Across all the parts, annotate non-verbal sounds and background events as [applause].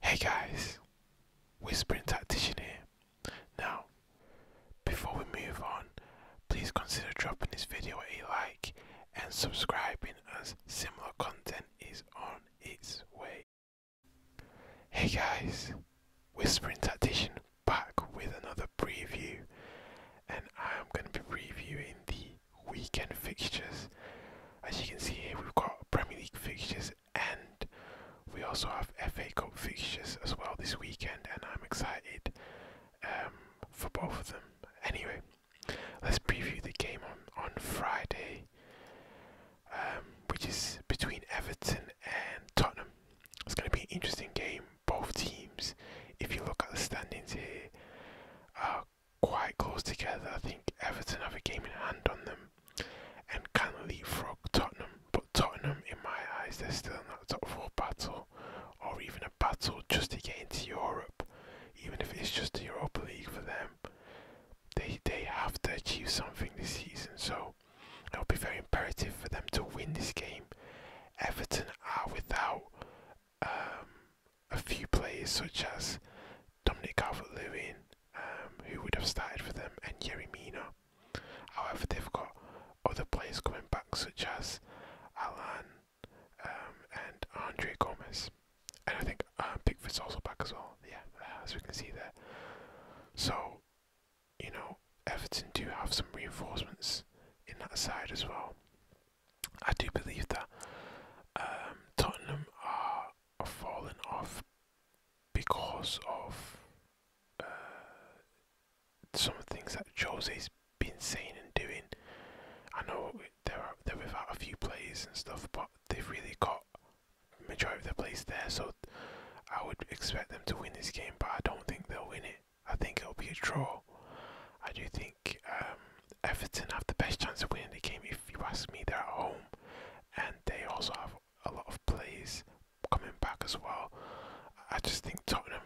Hey guys, Whispering Tactician here. Now, before we move on, please consider dropping this video a like and subscribing as similar content is on its way. Hey guys, Whispering Tactician back with another preview, and I'm going to be previewing the weekend fixtures. As you can see here, we've got Premier League fixtures and we also have FA Cup fixtures as well this weekend, and I'm excited um, for both of them. Anyway, let's preview the game on, on Friday, um, which is between Everton and Tottenham. It's going to be an interesting game. Both teams, if you look at the standings here, uh, quite close together. I think Everton have a game in hand on them and can leapfrog Tottenham. But Tottenham, in my eyes, they're still in that top four battle or even a battle just to get into Europe. Even if it's just the Europa League for them, they they have to achieve something this season. So it'll be very imperative for them to win this game. Everton are without um, a few players such as Dominic Calvert-Lewin, um, who would have started for them, and Yerry Mina. However, they've got other players coming back such as Alan um, and Andre Gomez. And I think uh, Pickford's also back as well, yeah, as we can see there. So, you know, Everton do have some reinforcements in that side as well. I do believe that um, Tottenham are, falling off because of uh, some things that Jose's been saying and doing. I know they're they're without a few players and stuff, but they've really got majority of their players there. So I would expect them to win this game, but I don't think they'll win it. I think it'll be a draw. I do think um, Everton have the best chance of winning the game if you ask me. They're at home, and they also have a lot of plays coming back as well. I just think Tottenham,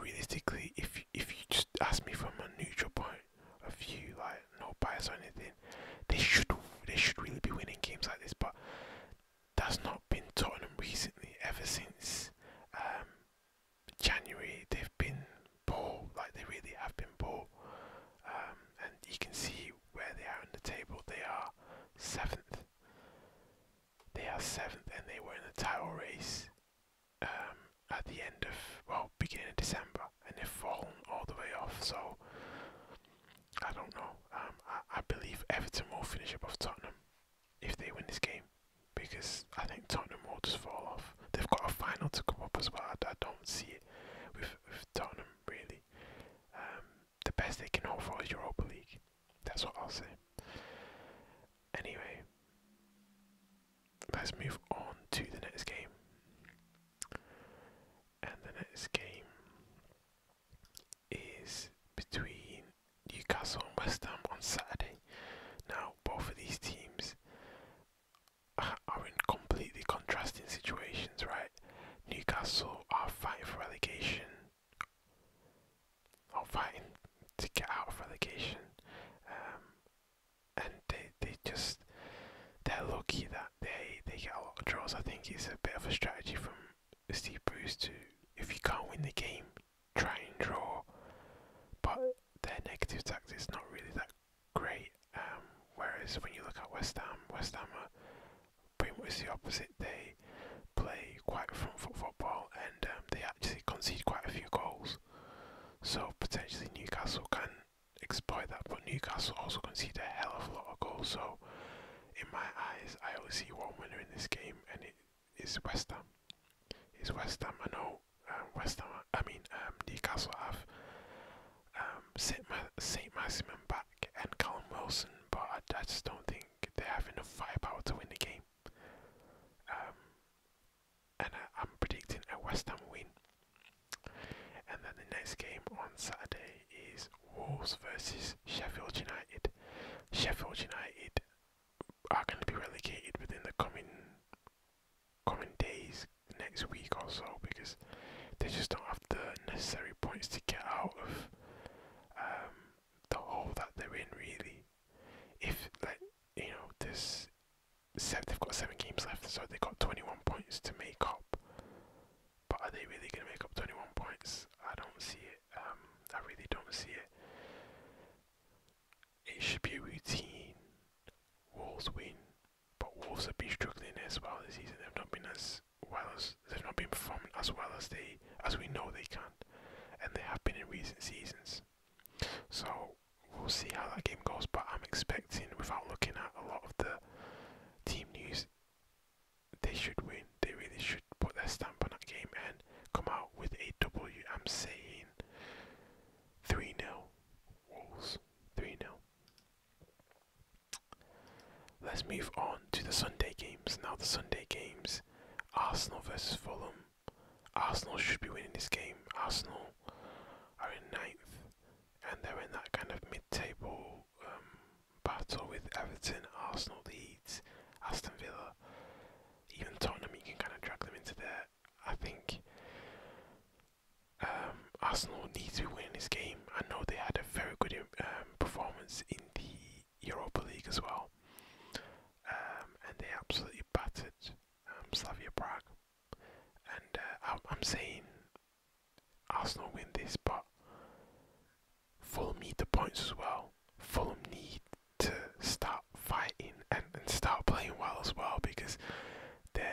realistically, if you, if you just ask me from a neutral point of view, like no bias or anything, they should they should really be winning games like this. But that's not been Tottenham recently. Ever since um, January they've been poor, like they really have been poor. Um, and you can see where they are on the table. They are seventh. They are seventh, and they were in the title race um, at the end of well, beginning of December, and they've fallen all the way off. So I don't know. Um, I, I believe Everton will finish above Tottenham if they win this game, because I think Tottenham will just fall off. They've got a final to come up as well. I, don't see it with, with Tottenham really. Um, the best they can hope for is Europa League. That's what I'll say. Anyway, let's move on to the next game. And the next game is between Newcastle and West Ham on Saturday. Now, both of these teams are in completely contrasting situations, right? Newcastle are fighting for relegation, or fighting to get out of relegation, um, and they they just they're lucky that they they get a lot of draws. I think it's a bit of a strategy from Steve Bruce to if you can't win the game, try and draw, but their negative tactics not really that great. Um, whereas when you look at West Ham, West Ham are pretty much the opposite. They play quite front foot football and um, they actually concede quite a few goals. So potentially Newcastle can exploit that, but Newcastle also concede a hell of a lot of goals. So in my eyes, I always see one winner in this game, and it is West Ham. It's West Ham. I know West Ham. I mean, um, Newcastle have um, Saint, Ma back and Callum Wilson, but I, just don't think they have enough firepower to win the game. Um, and I, am predicting a West Ham win. And then the next game on Saturday is Wolves versus Sheffield United. Sheffield United are going to be relegated within the coming coming days, next week or so, because they just don't have the necessary points to get out of um, the hole that they're in. Really, if like you know, this set they've got seven games left, so they got twenty-one points to make up. But are they really going to make up twenty-one points? I don't see it. Um, I really don't see it it should be a routine. Wolves win, but Wolves have been struggling as well this season. They've not been as well as they've not been performing as well as they as we know they can, and they have been in recent seasons. So we'll see how that game goes. But I'm expecting, without looking at a lot of the team news, they should win. They really should put their stamp on that game and come out with a W. I'm saying 3 0. Wolves 3 0. Let's move on to the Sunday games. Now, the Sunday games Arsenal versus Fulham. Arsenal should be winning this game. Arsenal are in ninth and they're in that kind of mid table um, battle with Everton, Arsenal, leads Aston Villa, even Tottenham. You can kind of drag them into there. I think um, Arsenal need to win this game. I know they had a very good um, performance in the Europa League as well, um, and they absolutely battered Slavia Prague. And uh, I'm saying Arsenal win this, but Fulham need the points as well. Fulham need to stop fighting and, and start playing well as well because they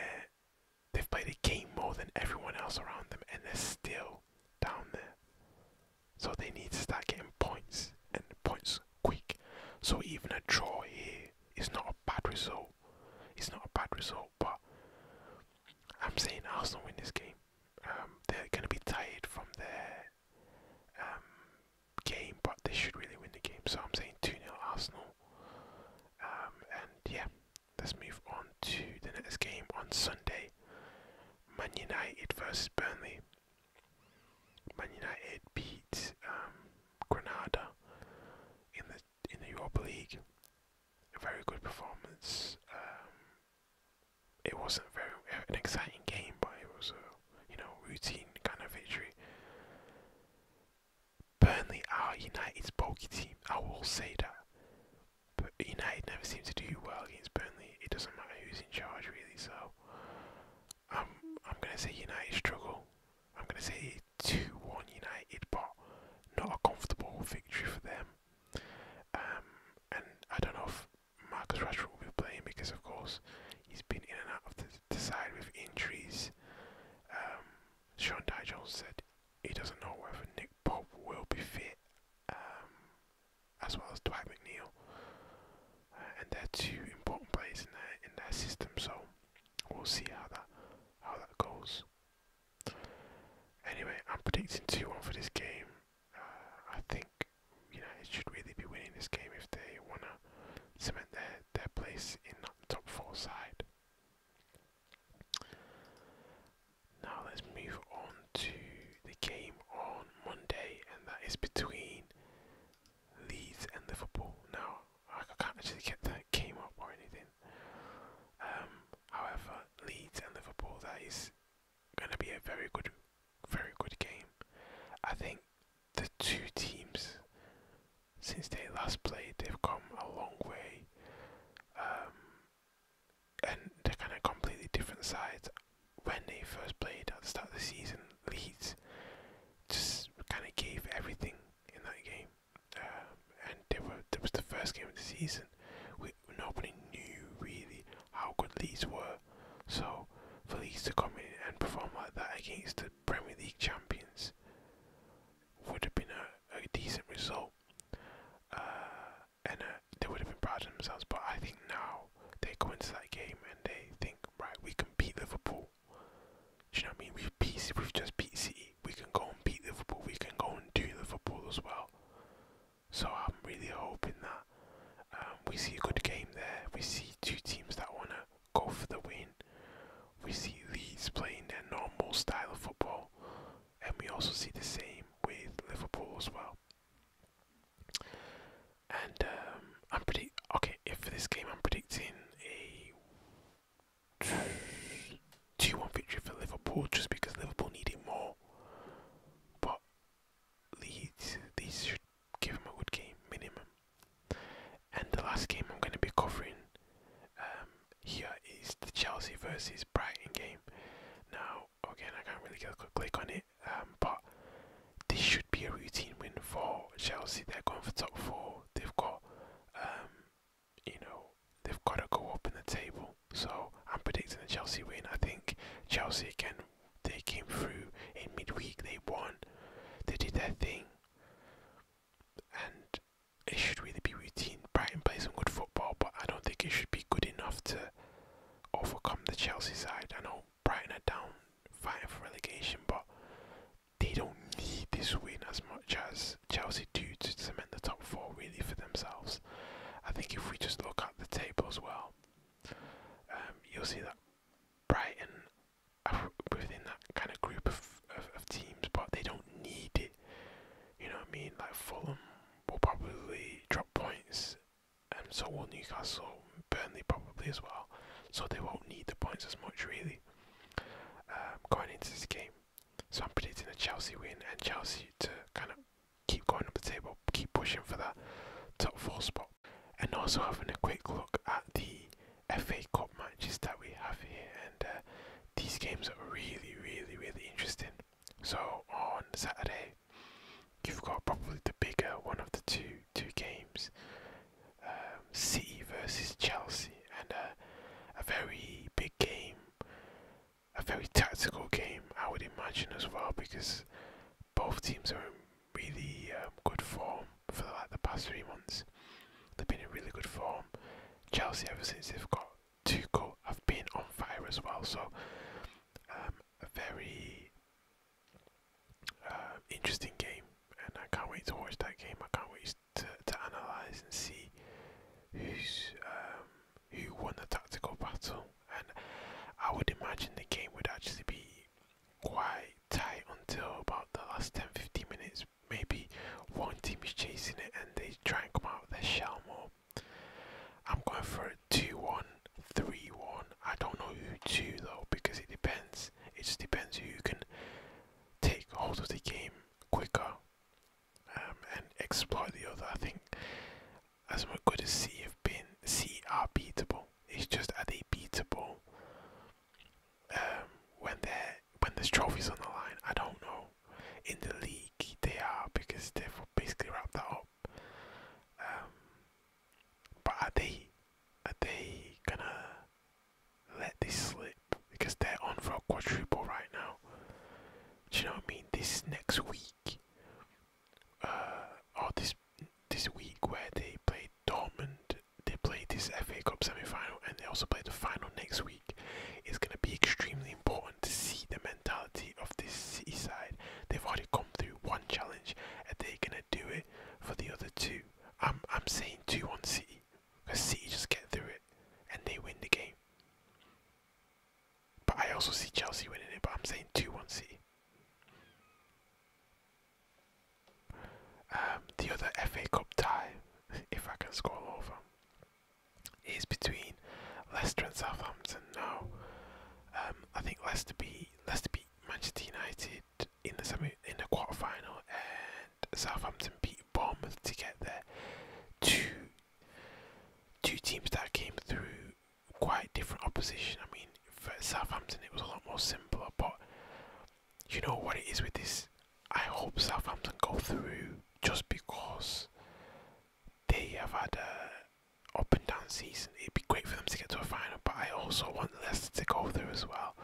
they've played a game more than everyone else around them and they're still down there. So they need to start getting points and points quick. So even a draw here is not a bad result. It's not a bad result, but I'm saying Arsenal win this game. Um, they're going to be tired from there. Um, game, but they should really win the game. So I'm saying 2 0 Arsenal. Um, and yeah, let's move on to the next game on Sunday Man United versus Burnley. Man United beat um, Granada in the in the Europa League. A very good performance. it wasn't very an exciting game, but it was a you know, routine kind of victory. Burnley are United's bulky team, I will say that. But United never seems to do well against Burnley. It doesn't matter who's in charge really, so I'm um, I'm gonna say United struggle. I'm gonna say two one United but not a comfortable victory for them. Um and I don't know if Marcus Rashford will be playing because, of course, he's been in and out of the, side with injuries. Um, Sean Dye said he doesn't know whether Nick Pope will be fit, um, as well as Dwight McNeil, uh, and they're two important players in their in their system. So we'll see how that how that goes. Anyway, I'm predicting two one for this game. I think you know it should really be winning this game if they wanna cement their their place in the top four side. Now let's move on to the game on Monday, and that is between Leeds and Liverpool. Now I can't actually get that game up or anything. Um, however, Leeds and Liverpool that is gonna be a very good, very good game. I think the two teams since they last played, they've come a long way, um, and they're kind of completely different sides. When they first played at the start of the season, Leeds just kind of gave everything in that game, um, and they were that was the first game of the season. We nobody knew really how good Leeds were so for Leeds to come in and perform like that against the Premier League champions would have been a, a decent result, uh, and uh, they would have been proud of themselves. But I think now they go into that game and they think, right, we can beat Liverpool. Do you know what I mean? We've beat, we've just beat City. We can go and beat Liverpool. We can go and do Liverpool as well. So I'm really hoping that um, we see a good game there. We see two teams that want to go for the win. We see Leeds playing their normal style of football, and we also see the same with Liverpool as well. And um, I'm pretty okay. If for this game, I'm predicting a two-one victory for Liverpool, just because Liverpool need it more. But Leeds. These should give him a good game minimum. And the last game I'm going to be covering um, here is the Chelsea versus Brighton game. Now, again, I can't really click on it, um, but this should be a routine win for Chelsea. They're going for top four. They've got, um, you know, they've got to go up in the table. So I'm predicting a Chelsea win. I think Chelsea can they came through in midweek. They won. They did their thing. And it should really be routine. Brighton play some good football, but I don't think it should be good enough to overcome the Chelsea side. I know Brighton are down fighting for relegation, but they don't need this win as much as Chelsea do to cement the top four really for themselves. I think if we just look at the table as well, um, you'll see that Brighton are within that kind of group of, of, teams, but they don't need it. You know what I mean? Like Fulham will probably drop points, and so will Newcastle, Burnley probably as well. So they won't need the points as much really um, going into this game. So I'm predicting a Chelsea win and Chelsea to kind of keep going up the table, keep pushing for that top four spot. And also having a quick look at the FA Cup matches that we have here, and uh, these games are really, really, really interesting. So on Saturday, you've got probably the bigger one of the two two games, um, City versus Chelsea, and uh, a very big game a very tactical game, I would imagine as well, because both teams are in really um, good form for like the past three months. They've been in really good form. Chelsea, ever since they've got Tuchel, have been on fire as well. So, um, a very um, interesting game, and I can't wait to watch that game. I can't wait to, to analyze and see who's who won the tactical battle, and I would imagine the game would actually be quite tight until about the last 10 15 minutes. Maybe one team is chasing it and they try and come out of their shell more. I'm going for a 2 1, 3 1. I don't know who to though because it depends. It just depends who can take hold of the game quicker um, and exploit the other. I think as we're going to see if Ben C are beatable. It's just are they beatable um, when they when there's trophies on the line? I don't know. In the league, they are because they've basically wrapped that up. Um, but are they are they gonna let this slip because they're on for a quadruple right now? Do you know what I mean? This next week uh, oh, this this week where they played Dortmund. They played this FA Cup semi-final, and they also played the final next week. It's going to be extremely important to see the mentality of this City side. They've already come through one challenge, and they're going to do it for the other two. I'm I'm saying two on City, because City just get through it, and they win the game. But I also see Chelsea winning it, but I'm saying 2 1 C. Um, the other FA Cup tie, [laughs] if I can scroll over, is between Leicester and Southampton now. Um, I think Leicester beat Leicester beat Manchester United in the semi in the quarter final, and Southampton beat Bournemouth to get there. Two two teams that came through quite different opposition. I mean, for Southampton it was a lot more simpler, but you know what it is with this. I hope Southampton go through just because they have had a up and down season. It'd be great for them to get to a final, but I also want Leicester to go through as well.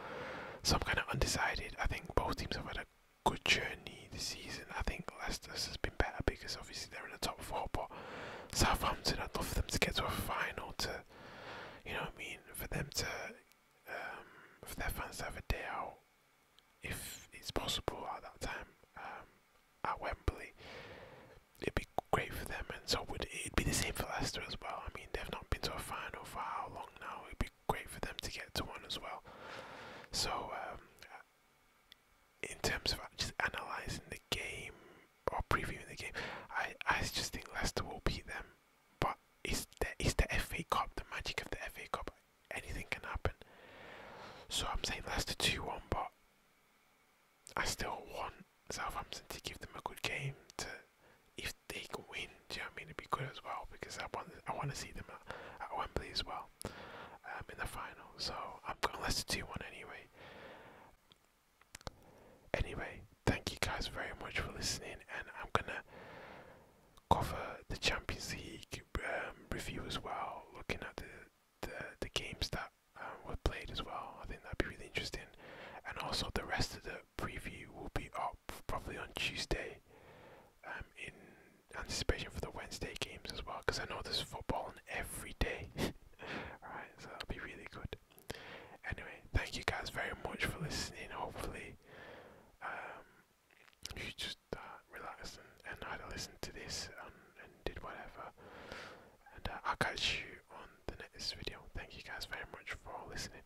So I'm kind of undecided. I think both teams have had a good journey this season. I think Leicester has been better because obviously they're in the top four, but Southampton, I'd for them to get to a final to, you know I mean, for them to, um, for their fans to have a day out, if it's possible at that time, um, at Wembley. It'd be great for them, and so would it'd be the same for Leicester as well. I mean, they've not been to a final for how long now? It'd be great for them to get to one as well. So um, in terms of just analysing the game or previewing the game, I, I just think Leicester will beat them. But it's the, it's the FA Cup, the magic of the FA Cup. Anything can happen. So I'm saying Leicester 2 1, but I still want Southampton to give them a good game. If they can win, do you know what I mean? It'd be good as well because I want, I want to see them at, at Wembley as well. I'm um, in the final. So I'm going to listen to 2 1 anyway. Anyway, thank you guys very much for listening, and I'm going to cover the Champions League um, review as well, looking at the, the, games that um, were played as well. I think that'd be really interesting. And also, the rest of the preview will be up probably on Tuesday um, in anticipation for the Wednesday games as well, because I know there's football on every day. [laughs] Alright, so that'll be really good. Anyway, thank you guys very much for listening. Hopefully, um, you just uh, and, and listen to this and, did whatever. And uh, I'll catch you on the next video. Thank you guys very much for listening.